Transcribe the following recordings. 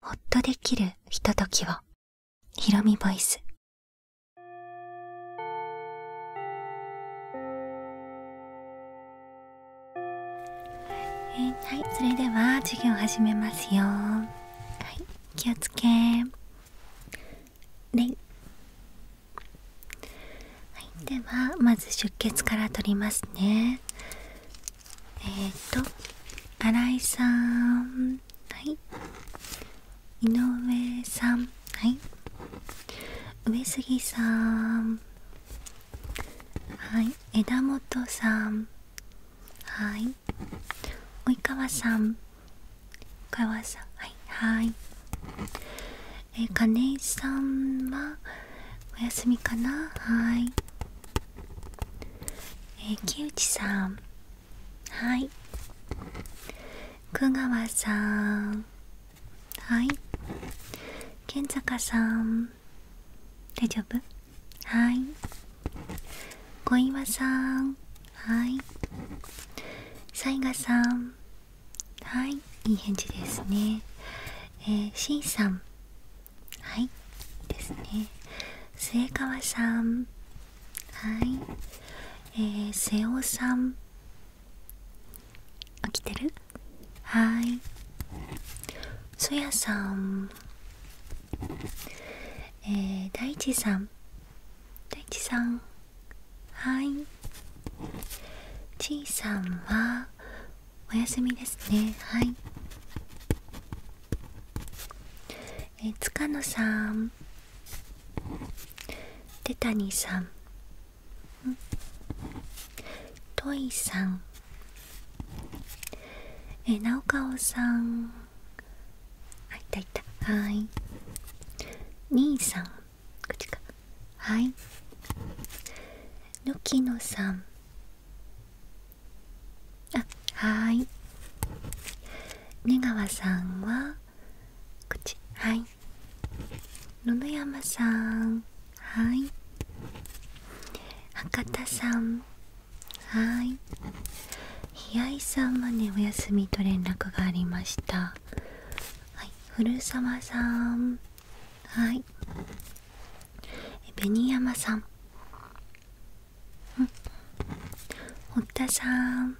ほっとできるひとときをひろみボイスはいそれでは授業始めますよはい気をつけはいではまず出血から取りますねえっ、と新井さんはい井上さんはい上杉さんはい枝本さんはい及川さん及川さんはいはいえー、金井さんはお休みかなはいえ木内さんはい久川さんはい健坂さん大丈夫はい小岩さんはい雑賀さんはいいい返事ですねえー、しんさんはいですね末川さんはいえー、瀬尾さん起きてるはいそやさんえー、大地さん大地さんはいちいさんはお休みですねはいえー、塚野さん手谷さんトイさんえー、直顔さんあいたいたはい兄さん口かはいのきのさんあはい根川さんは口はい野々山さんはい博多さんはい平井さんはねお休みと連絡がありましたはい古澤さんはい紅山さん堀田さん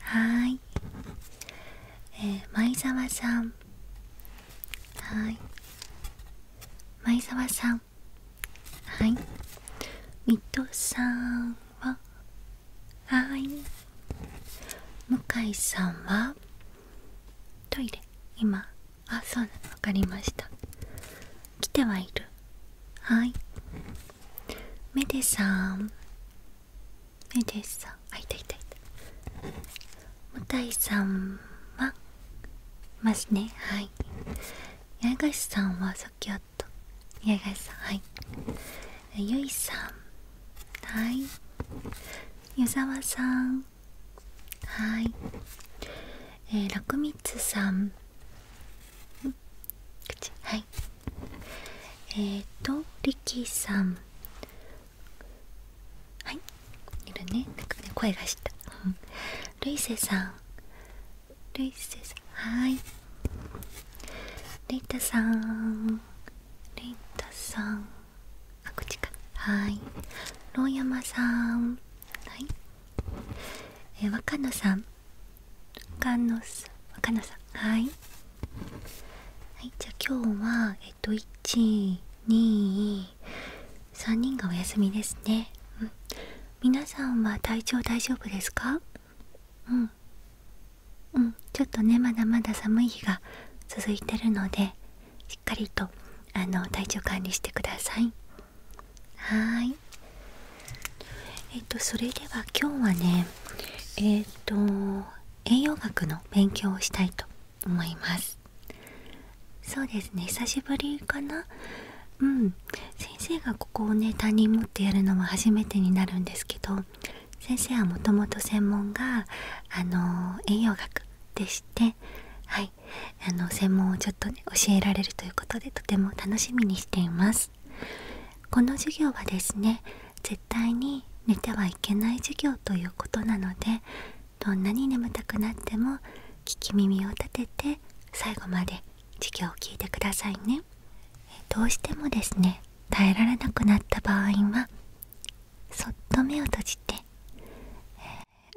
はいえー、前澤さんはい前澤さんはい水戸さんははい向井さんはトイレ今あそうわかりました来てはいるはいメデさんメデさんあいたいたいたもたいさんはますねはい八重樫さんはさっきあっ八重樫さんはいえゆいさんはい湯沢さんはいえー、らくみつさん口はいえーとリキさんはいいるねなんかね声がしたルイセさんルイセさんはいレイタさんレイタさんあこかはいローヤマさんはいえー、若野さんかのさかなさんはい、じゃあ今日はえっと123人がお休みですねうん皆さんは体調大丈夫ですかうんちょっとねまだまだ寒い日が続いてるのでしっかりとあの体調管理してくださいはいえっ、とそれでは今日はねえっ、と栄養学の勉強をしたいと思いますそうですね久しぶりかなうん先生がここをね担任持ってやるのは初めてになるんですけど先生はもともと専門があの栄養学でしてはいあの専門をちょっとね教えられるということでとても楽しみにしていますこの授業はですね絶対に寝てはいけない授業ということなのでどんなに眠たくなっても聞き耳を立てて最後まで授業を聞いてくださいねどうしてもですね耐えられなくなった場合はそっと目を閉じて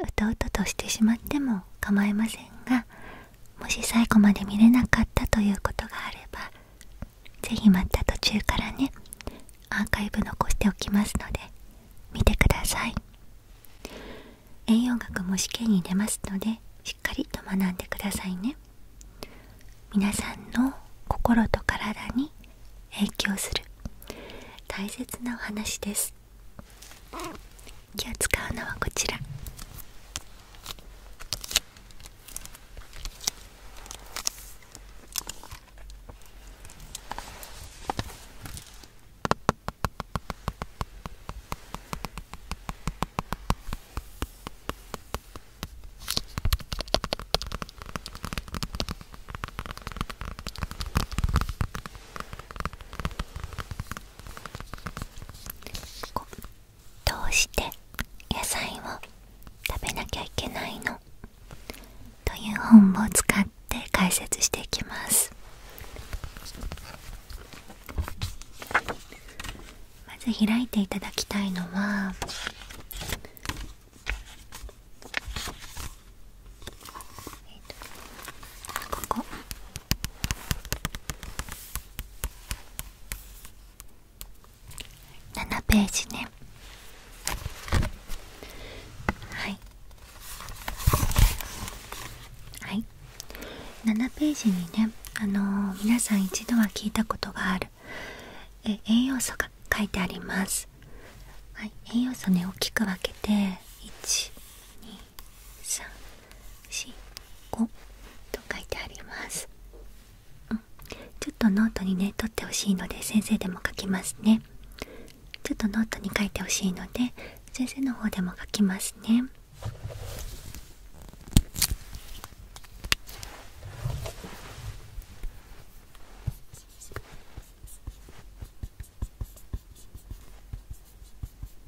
うとうととしてしまっても構いませんがもし最後まで見れなかったということがあれば是非また途中からねアーカイブ残しておきますので見てください栄養学も試験に出ますのでしっかりと学んでくださいね皆さんの心と体に影響する大切なお話です今日使うのはこちらこどうして野菜を食べなきゃいけないのという本を使って解説していきますまず開いていただきたいのはここ7ページねはいはい7ページにねあの皆さん一度は聞いたことがあるえ栄養素が書いてあります、はい、栄養素ね大きく分けて2345と書いてあります、うん、ちょっとノートにね取ってほしいので先生でも書きますねちょっとノートに書いてほしいので先生の方でも書きますね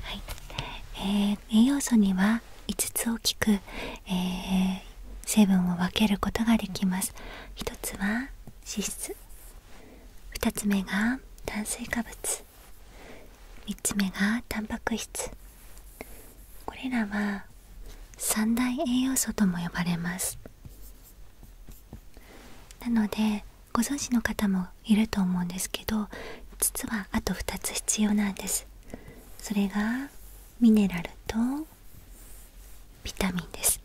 はい、え栄養素には5つ大きく、え成分を分けることができます1つは脂質2つ目が炭水化物3つ目がタンパク質これらは三大栄養素とも呼ばれますなのでご存知の方もいると思うんですけど実はあと2つ必要なんですそれがミネラルとビタミンです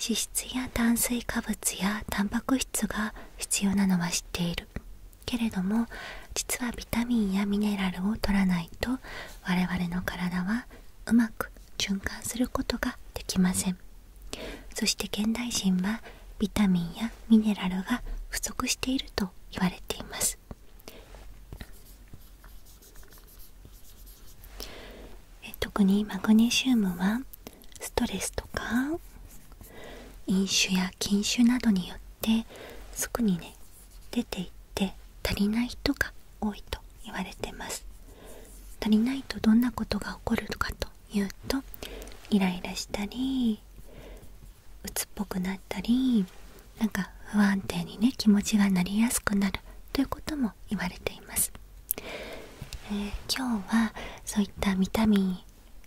脂質や炭水化物やタンパク質が必要なのは知っているけれども実はビタミンやミネラルを取らないと我々の体はうまく循環することができませんそして現代人はビタミンやミネラルが不足していると言われていますえ特にマグネシウムはストレスとか飲酒や禁酒などによってすぐにね出ていって足りない人が多いと言われてます足りないとどんなことが起こるかというとイライラしたり鬱っぽくなったりなんか不安定にね気持ちがなりやすくなるということも言われていますえ今日はそういったビタミン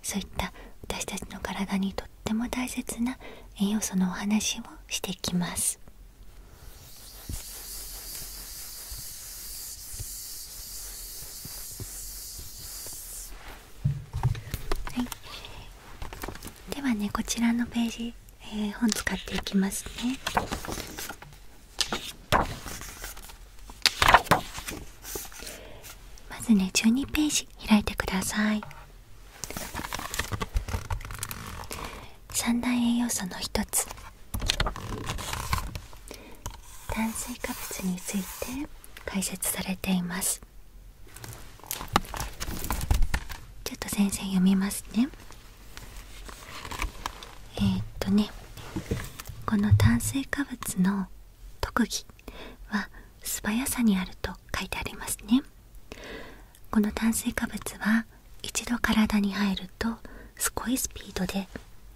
そういった私たちの体にとっても大切な栄養素のお話をしていきます。はい、ではねこちらのページ、え本使っていきますね。まずね12ページ開いてください三大栄養素の一つ炭水化物について解説されていますちょっと先生読みますねえっとねこの炭水化物の特技は素早さにあると書いてありますねこの炭水化物は一度体に入るとすごいスピードで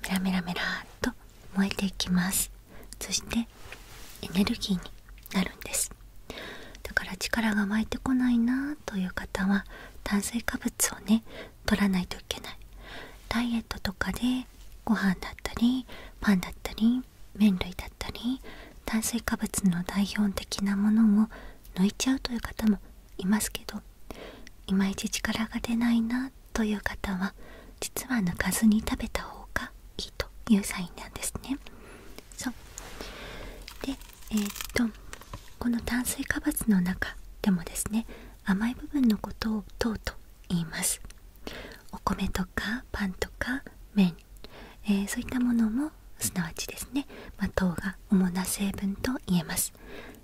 メラメラメラっと燃えていきますそしてエネルギーになるんですだから力が湧いてこないなという方は炭水化物をね取らないといけないダイエットとかでご飯だったりパンだったり麺類だったり炭水化物の代表的なものを抜いちゃうという方もいますけどいまいち力が出ないなという方は実は抜かずに食べた方がいいというサインなんですね。そうでえっとこの炭水化物の中でもですね甘い部分のことを糖と言いますお米とかパンとか麺、えそういったものもすなわちですね、ま糖が主な成分と言えます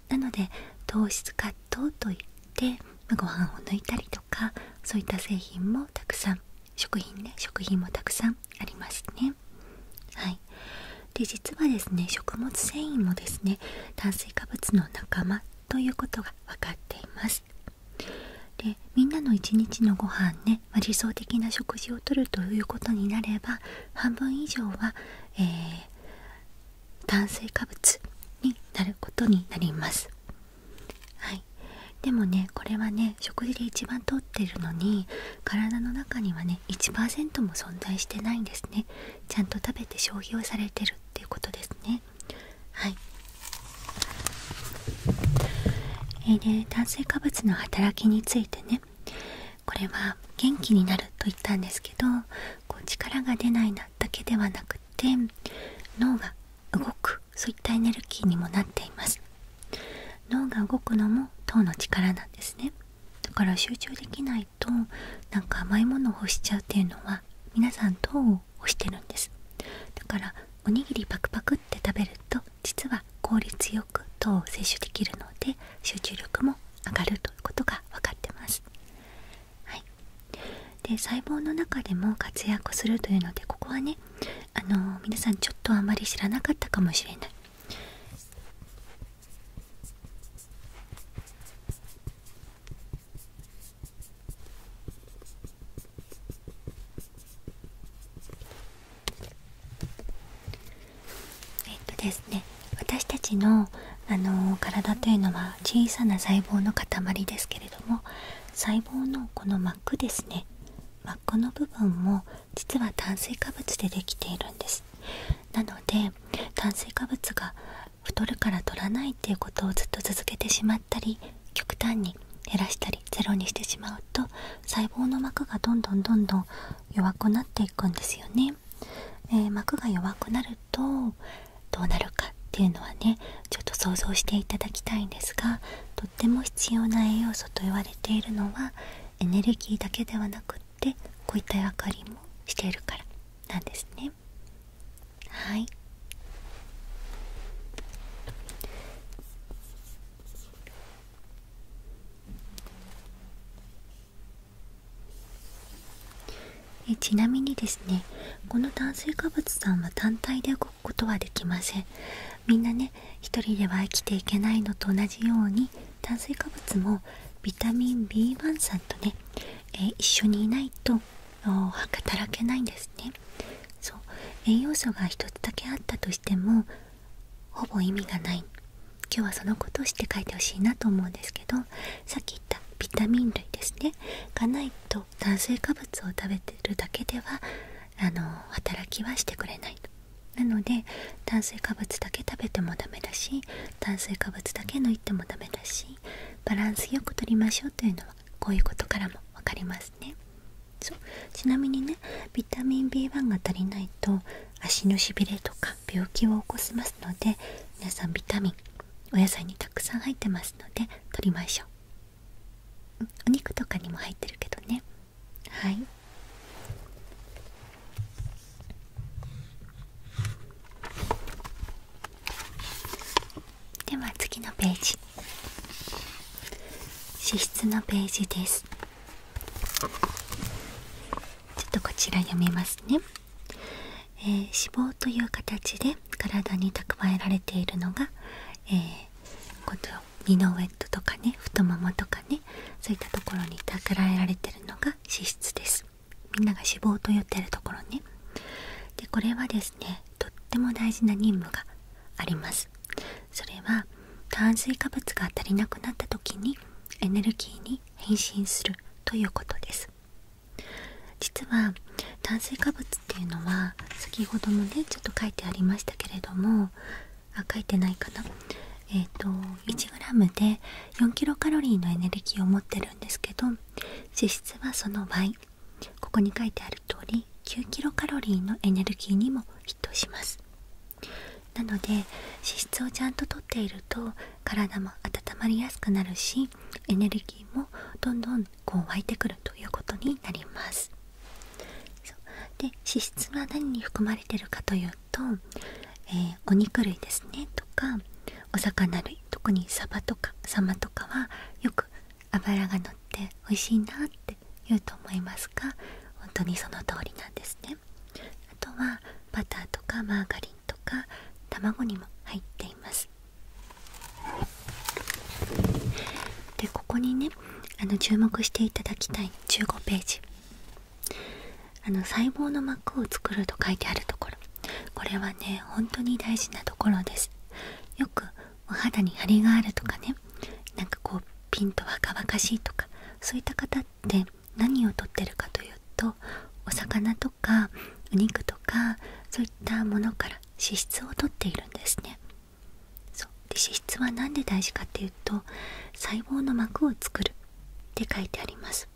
なので糖質カットといって、まあ、ご飯を抜いたりとかそういった製品もたくさん食品ね食品もたくさんありますねはいで実はですね食物繊維もですね炭水化物の仲間ということが分かっていますでみんなの一日のご飯ね、ま理想的な食事をとるということになれば半分以上は、え炭水化物になることになりますはいでもねこれはね食事で一番とってるのに体の中にはね1%も存在してないんですねちゃんと食べて消費をされてるっていうこですねはいえー、で炭水化物の働きについてねこれは元気になると言ったんですけどこう力が出ないなだけではなくて脳が動くそういったエネルギーにもなっています脳が動くのも糖の力なんですねだから集中できとなんか甘いものを欲しちゃうっていうのは皆さん糖を欲してるんですだからおにぎりパクパクって食べると実は効率よく糖摂取できるので集中力も上がるということが分かってます、はい、で細胞の中でも活躍するというのでここはねあの皆さんちょっとあまり知らなかったかもしれないえっとですね私たちのあの体というのは小さな細胞の塊ですけれども細胞のこの膜ですね膜の部分も実は炭水化物でできているんですなので炭水化物が太るから取らないっていうことをずっと続けてしまったり極端に減らしたりゼロにしてしまうと細胞の膜がどんどんどんどん弱くなっていくんですよね。え膜が弱くなるとどうなるかっていうのはねちょっと想像していただきたいんですがとっても必要な栄養素と言われているのはエネルギーだけではなくってこういった役割もしているからなんですね。はいえちなみにですねこの炭水化物さんは単体で動くことはできませんみんなね1人では生きていけないのと同じように炭水化物もビタミン B1 酸とねえー、一緒にいないと働けないんですねそう栄養素が一つだけあったとしてもほぼ意味がない今日はそのことをして書いてほしいなと思うんですけどさっき言ったビタミン類ですねがないと炭水化物を食べてるだけではあの働きはしてくれないとなので炭水化物だけ食べてもダメだし炭水化物だけ抜いてもダメだしバランスよくとりましょうというのはこういうことからも分かりますねそうちなみにねビタミン B1 が足りないと足のしびれとか病気を起こしますので皆さんビタミンお野菜にたくさん入ってますのでとりましょうお肉とかにも入ってるけどねはいでは次のページ脂質のページですちょっとこちら読みますね、え脂肪という形で体に蓄えられているのが、えこの二のウエットとかね太ももとかねそういったところに蓄えられてるのが脂質ですみんなが脂肪と言ってるところねでこれはですねとっても大事な任務がありますそれは炭水化物が足りなくなった時にエネルギーに変身するということです実は炭水化物っていうのは先ほどもねちょっと書いてありましたけれどもあ書いてないかなえっ、と 1g で 4kcal のエネルギーを持ってるんですけど脂質はその倍ここに書いてある通り9キロカロリーのエネルギーにも匹敵しますなので脂質をちゃんととっていると体も温まりやすくなるしエネルギーもどんどんこう湧いてくるということになりますで脂質が何に含まれてるかというと、えお肉類ですねとかお魚類特にサバとかサマとかはよく脂がのって美味しいなって言うと思いますが本当にその通りなんですねあとはバターとかマーガリンとか卵にも入っていますでここにねあの注目していただきたい15ページあの細胞の膜を作ると書いてあるところこれはね本当に大事なところですよくお肌にハリがあるとかねなんかこうピンと若々しいとかそういった方って何をとってるかというとお魚とかお肉とかそういったものから脂質をとっているんですねで脂質は何で大事かっていうと細胞の膜を作るって書いてあります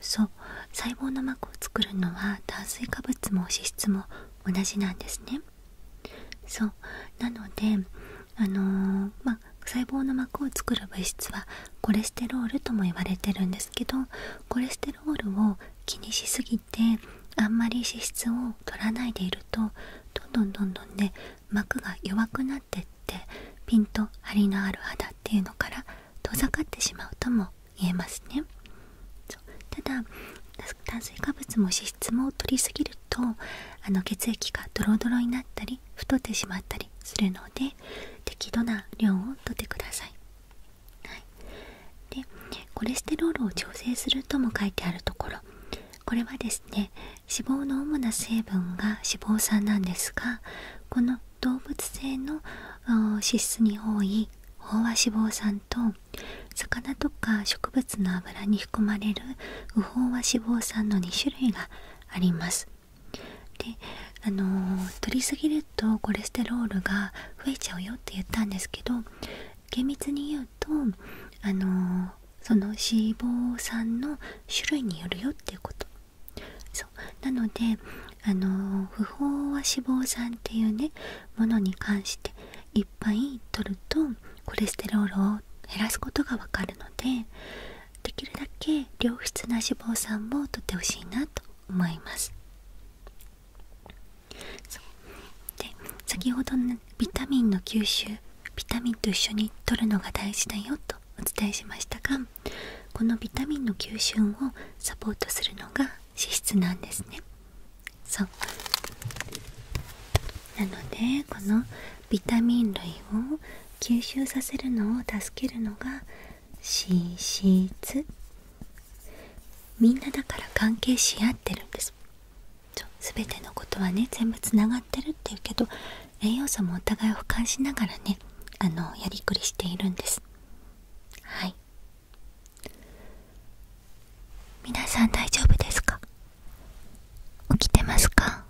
そう細胞の膜を作るのは炭水化物も脂質も同じなんですねそうなのであのま細胞の膜を作る物質はコレステロールとも言われてるんですけどコレステロールを気にしすぎてあんまり脂質を取らないでいるとどんどんどんどんで膜が弱くなってってピンと張りのある肌っていうのから遠ざかってしまうとも言えますねただ炭水化物も脂質も摂りすぎるとあの血液がドロドロになったり太ってしまったりするので適度な量をとってください、い、でコレステロールを調整するとも書いてあるところこれはですね脂肪の主な成分が脂肪酸なんですがこの動物性の脂質に多い飽和脂肪酸と魚とか植物の油に含まれる不飽和脂肪酸の2種類があります。であのー、りすぎるとコレステロールが増えちゃうよって言ったんですけど厳密に言うとあのその脂肪酸の種類によるよっていうこと。なのであの不飽和脂肪酸っていうねものに関していっぱい取るとコレステロールを減らすことがわかるのでできるだけ良質な脂肪酸も取ってほしいなと思いますで先ほどのビタミンの吸収ビタミンと一緒に摂るのが大事だよとお伝えしましたがこのビタミンの吸収をサポートするのが脂質なんですねそうなのでこのビタミン類を吸収させるのを助けるのが脂質みんなだから関係し合ってるんです全てのことはね全部つながってるっていうけど栄養素もお互いを俯瞰しながらねあのやりくりしているんですはい皆さん大丈夫ですか起きてますか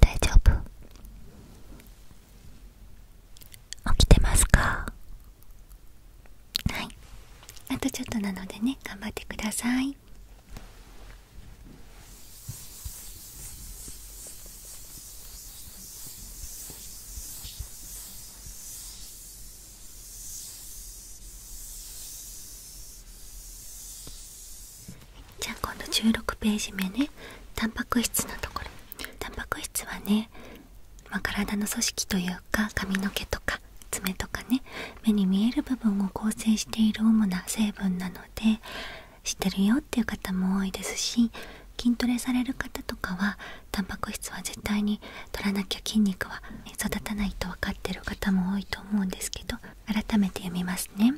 大丈夫起きてますかはいあとちょっとなのでね頑張ってくださいじゃあ今度16ページ目ねタンパク質のところタンパク質はね、ま体の組織というか髪の毛とか爪とかね目に見える部分を構成している主な成分なので知ってるよっていう方も多いですし筋トレされる方とかはタンパク質は絶対に取らなきゃ筋肉は育たないと分かってる方も多いと思うんですけど改めて読みますね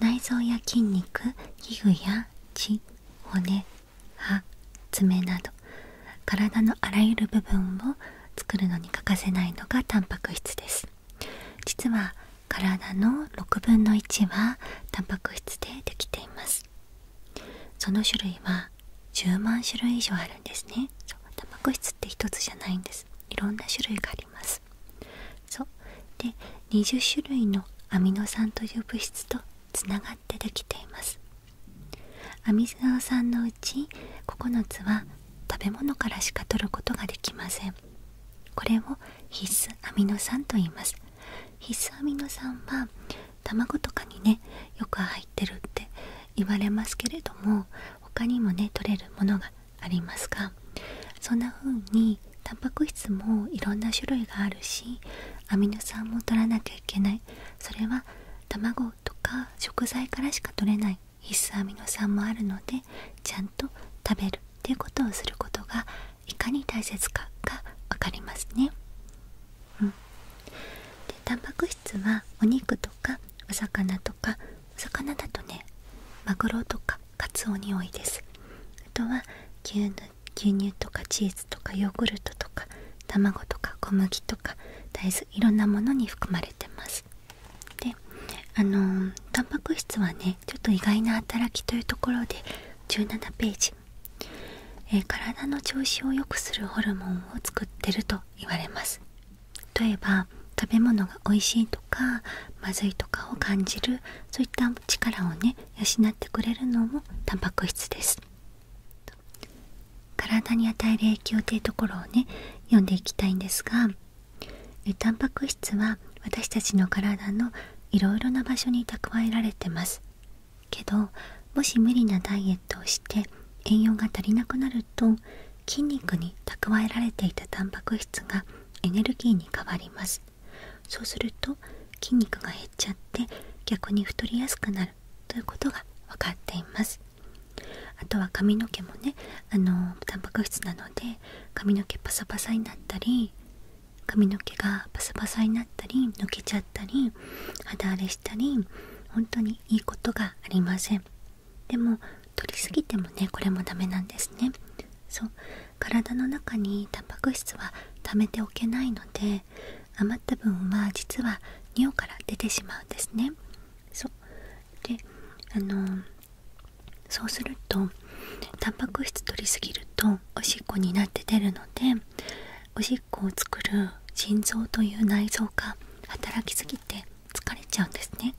内臓や筋肉皮膚や血骨爪など体のあらゆる部分を作るのに欠かせないのがタンパク質です実は体の6分の1はタンパク質でできていますその種類は10万種類以上あるんですねそうタンパ質って1つじゃないんですいろんな種類がありますそうで20種類のアミノ酸という物質とつながってできていますアミノ酸のうち9つは食べ物からしか取ることができませんこれを必須アミノ酸と言います必須アミノ酸は卵とかにねよく入ってるって言われますけれども他にもね取れるものがありますがそんな風にたんぱく質もいろんな種類があるしアミノ酸も取らなきゃいけないそれは卵とか食材からしか取れない必須アミノ酸もあるのでちゃんと食べるっていうことをすることがいかに大切かが分かりますね。うん、でタンパク質はお肉とかお魚とかお魚だとねマグロとかカツオに多いですあとは牛乳とかチーズとかヨーグルトとか卵とか小麦とか大豆いろんなものに含まれてますであのー、タンパク質はねちょっと意外な働きというところで17ページえ体の調子を良くするホルモンを作ってると言われます例えば食べ物が美味しいとかまずいとかを感じるそういった力をね養ってくれるのもタンパク質です体に与える影響というところをね読んでいきたいんですがタンパク質は私たちの体のいろいろな場所に蓄えられてますけどもし無理なダイエットをして栄養が足りなくなると筋肉に蓄えられていたタンパク質がエネルギーに変わりますそうすると筋肉が減っちゃって逆に太りやすくなるということが分かっていますあとは髪の毛もねあのタンパク質なので髪の毛パサパサになったり髪の毛がパサパサになったり抜けちゃったり肌荒れしたり本当にいいことがありませんでも取りすぎてもねこれもダメなんですねそう体の中にタンパク質は溜めておけないので余った分は実は尿から出てしまうんですねそうであのそうするとタンパク質取りすぎるとおしっこになって出るのでおしっこを作る腎臓という内臓が働きすぎて疲れちゃうんですね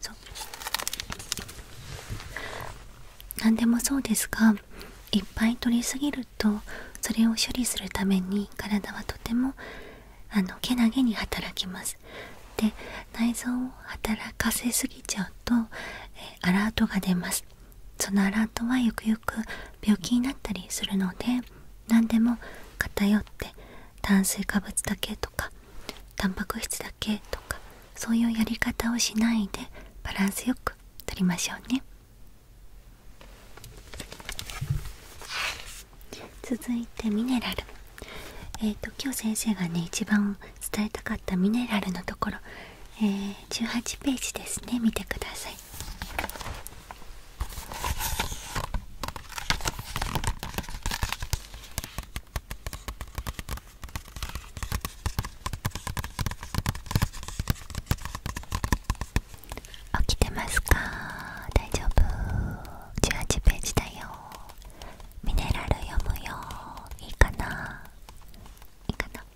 そう何でもそうですがいっぱい取りすぎるとそれを処理するために体はとてもあのけなげに働きますで内臓を働かせすぎちゃうと、えアラートが出ますそのアラートはゆくゆく病気になったりするので何でも偏って炭水化物だけとかタンパク質だけとかそういうやり方をしないでバランスよくとりましょうね続いてミネラルえっ、ー、と今日先生がね一番伝えたかったミネラルのところ、え18ページですね見てください起きてますか大丈夫18ページだよミネラル読むよいいかないいかな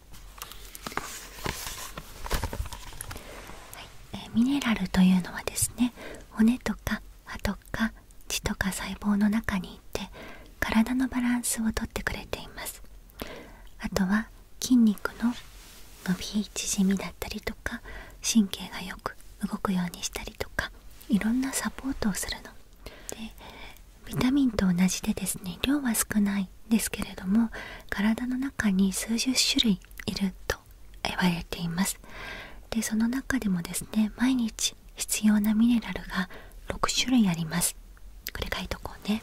はいえー、ミネラルというのはですね骨とか歯とか血とか細胞の中にいて体のバランスをとってくれていますあとは筋肉の伸び縮みだったりとか神経がよく動くようにしたりとかいろんなサポートをするのでビタミンと同じでですね量は少ないですけれども体の中に数十種類いると言われていますでその中でもですね毎日必要なミネラルが6種類ありますこれ書いとこうね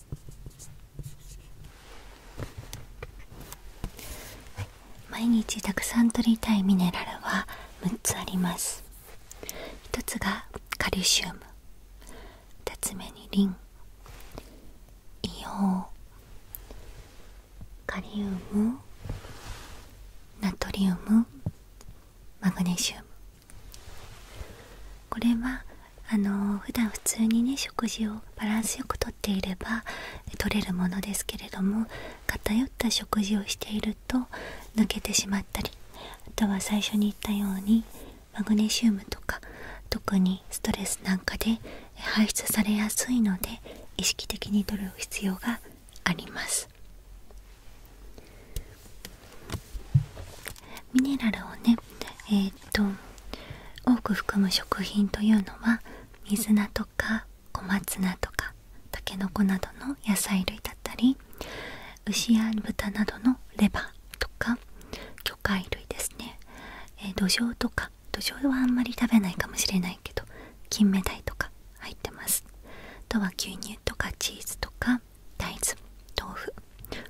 毎日たくさんとりたいミネラルは6つあります1つがカルシウム2つ目にリン硫黄カリウムナトリウムマグネシウムこれはあの普段普通にね食事をバランスよくとっていれば取れるものですけれども偏った食事をしていると抜けてしまったりあとは最初に言ったようにマグネシウムとか特にストレスなんかで排出されやすいので意識的に取る必要がありますミネラルをね、と多く含む食品というのは水菜とか小松菜とかたけのこなどの野菜類だったり牛や豚などのレバーとか魚介類ですね、えー、土壌とか土壌はあんまり食べないかもしれないけど金目鯛とか入ってますあとは牛乳とかチーズとか大豆豆腐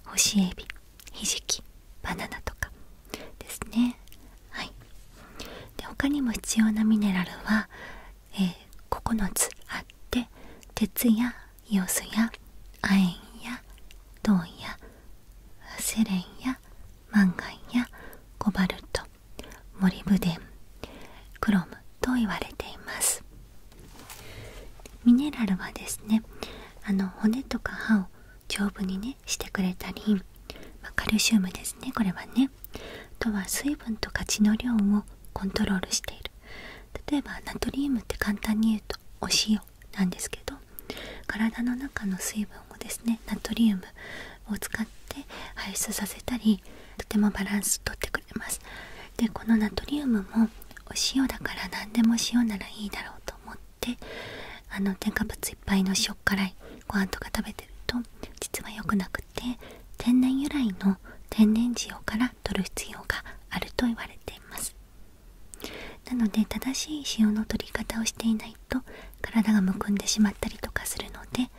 干しエビひじきバナナとかですねはいで他にも必要なミネラルは、え9つあって鉄やイオスや亜鉛や銅やセレンやマンガンやコバルトモリブデンクロムと言われていますミネラルはですねあの骨とか歯を丈夫にねしてくれたり、カルシウムですねこれはねあとは水分と価値の量をコントロールしている例えばナトリウムって簡単に言うとお塩なんですけど体の中の水分をですねナトリウムを使って排出させたりとてもバランスとってくれますでこのナトリウムもお塩だから何でも塩ならいいだろうと思っっあの添加物いっぱいの塩辛いご飯とか食べてると実は良くなくて天然由来の天然塩から取る必要があると言われていますなので正しい塩の取り方をしていないと体がむくんでしまったりとかするので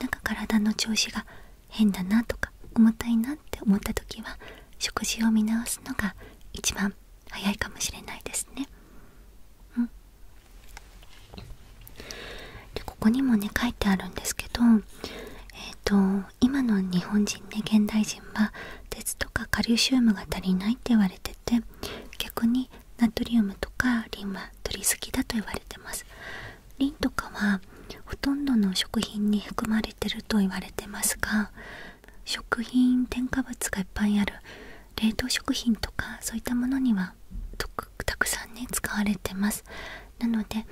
なんか体の調子が変だなとか重たいなって思った時は食事を見直すのが一番早いかもしれないですねうんでここにもね書いてあるんですけどえっ、と今の日本人ね現代人は鉄とかカリウムが足りないって言われてて逆にナトリウムとかリンは鳥好きだと言われてますリンとかはほとんどの食品に含まれてると言われてますが食品添加物がいっぱいある冷凍食品とかそういったものにはたくさんね使われてますなので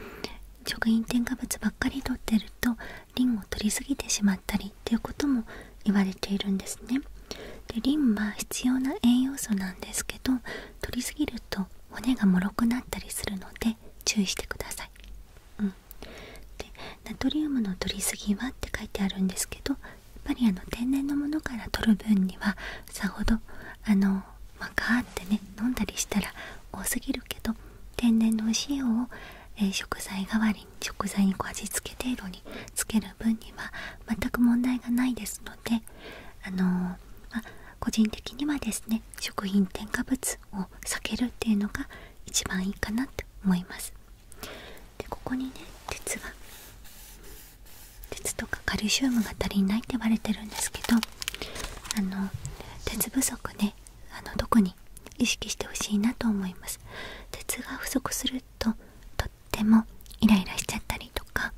食品添加物ばっかり取ってるとリンを取りすぎてしまったりっていうことも言われているんですねでリンは必要な栄養素なんですけど取りすぎると骨がもろくなったりするので注意してください、うん、でナトリウムの摂りすぎはって書いてあるんですけどやっぱりあの天然のものから摂る分にはさほどあのまガーってね飲んだりしたら多すぎるけど天然のお塩を、え食材代わりに食材にこう味付け程度につける分には全く問題がないですのであのま個人的にはですね食品添加物を避けるっていうのが一番いいかなと思います。でここにね鉄が鉄とかカルシウムが足りないって言われてるんですけどあの鉄不足ねあの特に意識してほしいなと思います鉄が不足するととってもイライラしちゃったりとか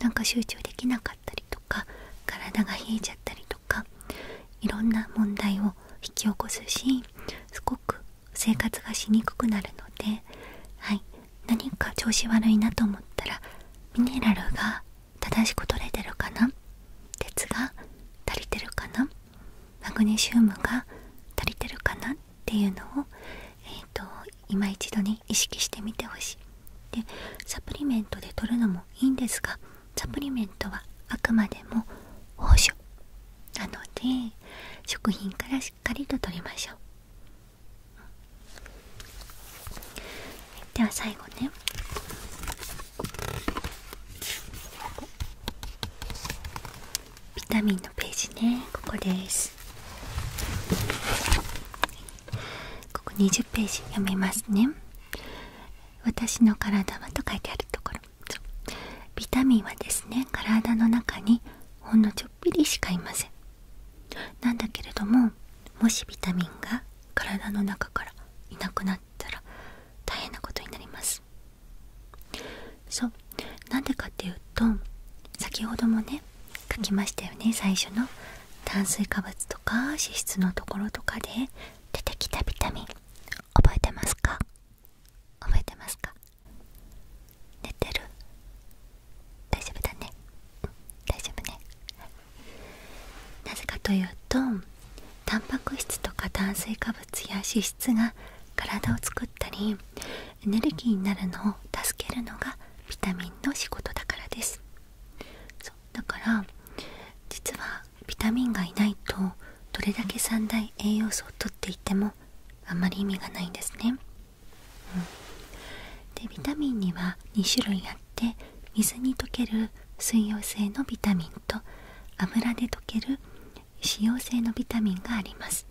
何か集中できなかったりとか体が冷えちゃったりとかいろんな問題を引き起こすしすごく生活がしで、はい、何か調子悪いなと思ったらミネラルが正しく取れてるかな鉄が足りてるかなマグネシウムが足りてるかなっていうのを、えー、と今一度ね意識してみてほしいでサプリメントで取るのもいいんですがサプリメントはあくまでも報酬なので食品からしっかりと取りましょうでは最後ねビタミンのページねここですここ20ページ読みますね私の体はと書いてあるところビタミンはですね体の中にほんのちっりしかいませんなんだけれどももしビタミンが体の中からいなくなったら大変なことになりますそうなんでかっていうと先ほどもね書きましたよね最初の炭水化物とか脂質のところとかで出てきたビタミン覚えてますか覚えてますか寝てる大丈夫だね、大丈夫ねなぜかというとタンパク質とか炭水化物や脂質が体を作ったりエネルギーになるのを助けるのがビタミンの仕事だからですだから実はビタミンがいないとどれだけ3。大栄養素をとっていてもあんまり意味がないんですねでビタミンには2種類あって水に溶ける水溶性のビタミンと油で溶ける脂溶性のビタミンがあります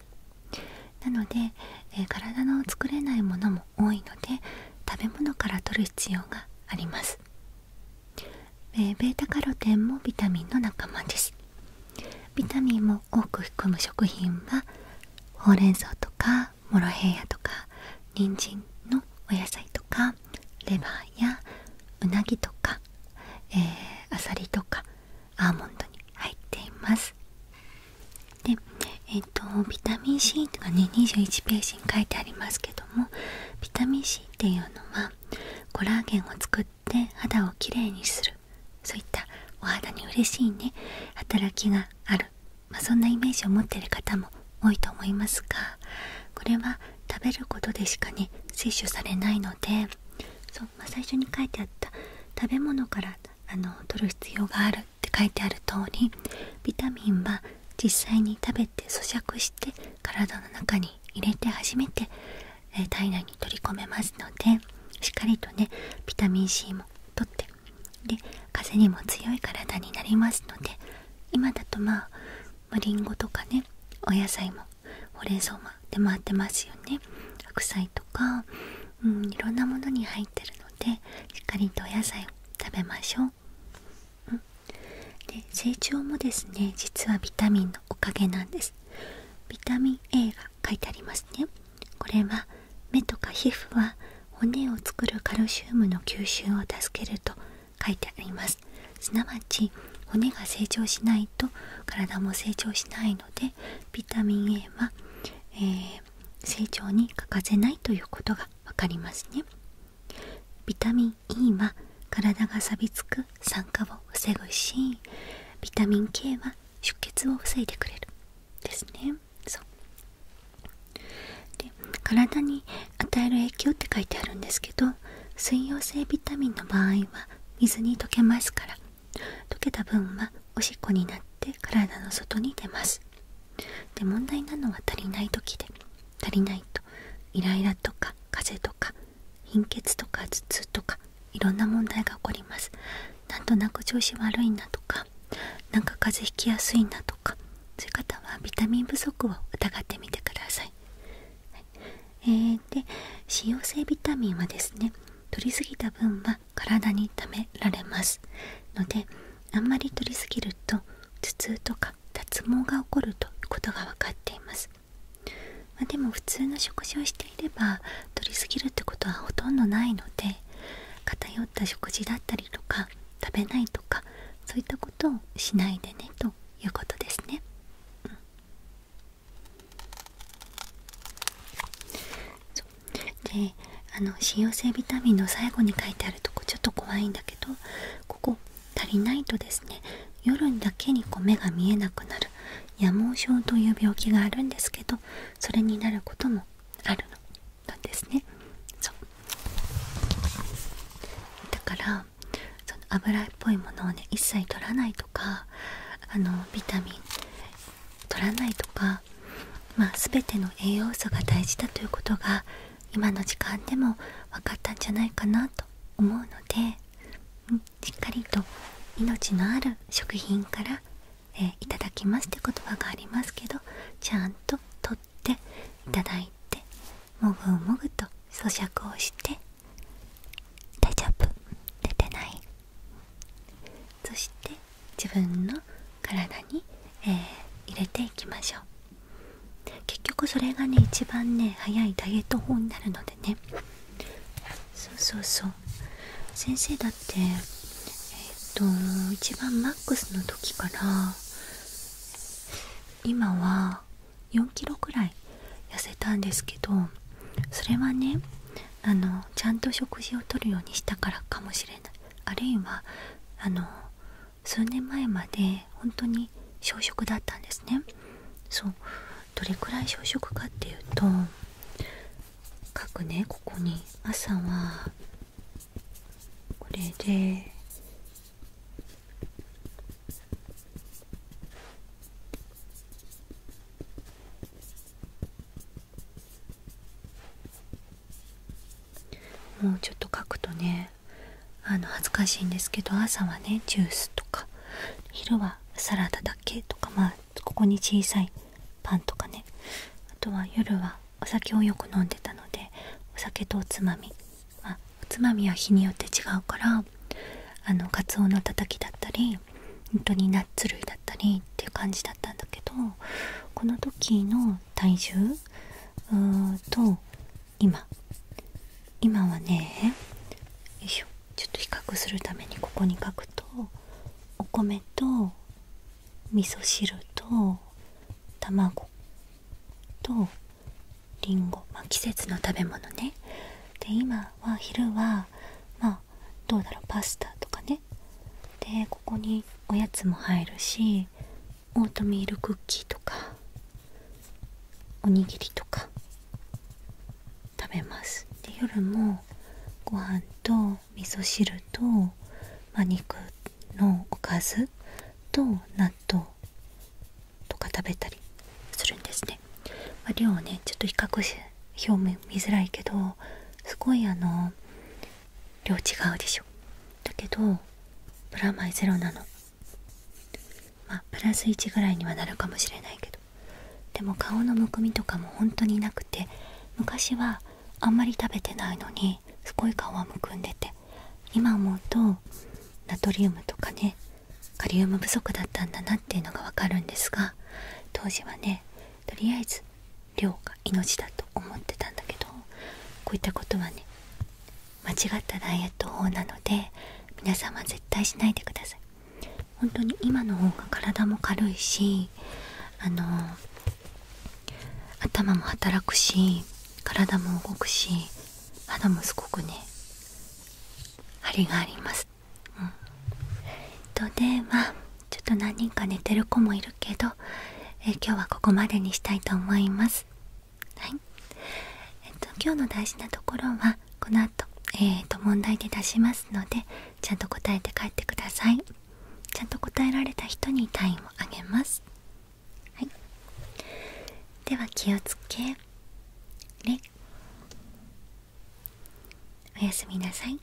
なので、えー、体の作れないものも多いので食べ物から摂る必要があります、えー、ベータカロテンもビタミンの仲間ですビタミンもを多く含む食品はほうれん草とかモロヘイヤとか人参のお野菜とかレバーやうなぎとか、えあさりとかアーモンドに入っていますでえっ、とビタミン C とかね21ページに書いてありますけどもビタミン C っていうのはコラーゲンを作ってで肌をきれいにするそういったお肌に嬉しいね働きがある、まそんなイメージを持ってる方も多いと思いますがこれは食べることでしかね摂取されないのでそう、ま最初に書いてあった食べ物からあの取る必要があるって書いてある通りビタミンは実際に食べて咀嚼して体の中に入れて初めてえ体内に取り込めますのでしっかりとねビタミン C もとってで風にも強い体になりますので今だとまありんごとかねお野菜もほうれん草も出回ってますよね白菜とか、うん、いろんなものに入ってるのでしっかりとお野菜を食べましょう、うん、で成長もですね実はビタミンのおかげなんですビタミン A が書いてありますねこれは目とか皮膚は骨を作るカルシウムの吸収を助けると書いてありますすなわち骨が成長しないと体も成長しないのでビタミン A は、え成長に欠かせないということが分かりますねビタミン E は体が錆びつく酸化を防ぐしビタミン K は出血を防いでくれるですねそうで体に与える影響って書いてあるんですけど水溶性ビタミンの場合は水に溶けますから溶けた分はおしっこになって体の外に出ますで問題なのは足りない時で足りないとイライラとか風邪とか貧血とか頭痛とかいろんな問題が起こりますなんとなく調子悪いなとかなんか風邪ひきやすいなとかそういう方はビタミン不足を疑ってみてください、えで使用性ビタミンはですね取りすぎた分は体に溜められますのであんまり取りすぎると頭痛とか脱毛が起こるということが分かっています、までも普通の食しいれば取りすぎるってことはほとんどないので偏った食事だったりとか食べないとかそういったことをしないでねということですね。であの使用性ビタミンの最後に書いてあるとこちょっと怖いんだけどここ足りないとですね夜だけにこう目が見えなくなる夜盲症という病気があるんですけどそれになることもあるのですねそうだからその油っぽいものをね一切取らないとかあのビタミン取らないとか、まあ、全ての栄養素が大事だということが今の時間でも分かったんじゃないかなと思うので、しっかりと命のある食品からえいただきますって言葉がありますけどちゃんと取っていただいてもぐもぐと咀嚼をして大丈夫出てないそして自分の体に、え入れていきましょう結局それがね一番ね早いダイエット法になるのでねそうそうそう先生だってえっ、と一番マックスの時から今は4キロくらい痩せたんですけどそれはねあのちゃんと食事をとるようにしたからかもしれないあるいはあの数年前まで本当に小食だったんですねそうどれくらい小食かっていうと書くねここに朝はこれでもうちょっと書くとねあの恥ずかしいんですけど朝はねジュースとか昼はサラダだけとかまあここに小さいパンとかねあとは夜はお酒をよく飲んでたのでお酒とおつまみ、まおつまみは日によって違うからあのカツオのたたきだったり本当にナッツ類だったりっていう感じだったんだけどこの時の体重と今今はねよいしょちょっと比較するためにここに書くとお米と味噌汁と卵とりんご、まあ、季節の食べ物ねで今は昼はまあどうだろうパスタとかねでここにおやつも入るしオートミールクッキーとかおにぎりとか食べますで夜もご飯と味噌汁と、ま肉のおかずと納豆とか食べたりするんですね、ま量をねちょっと比較して表面見づらいけどすごいあの量違うでしょだけどプラマイゼロなのまあプラス1ぐらいにはなるかもしれないけどでも顔のむくみとかも本当になくて昔はあんまり食べてないのにすごい顔はむくんでて今思うとナトリウムとかねカリウム不足だったんだなっていうのがわかるんですが当時はねとりあえず量が命だと思ってたんだけどこういったことはね間違ったダイエット法なので皆さんは絶対しないでください本当に今の方が体も軽いしあの頭も働くし体も動くし肌もすごくね張りがあります、うん、とではちょっと何人か寝てる子もいるけど、え今日はここまでにしたいと思いますはいえっと今日の大事なところはこの後、えー、と問題で出しますのでちゃんと答えて帰ってくださいちゃんと答えられた人に単位をあげますはいでは気をつけい。おやすみなさい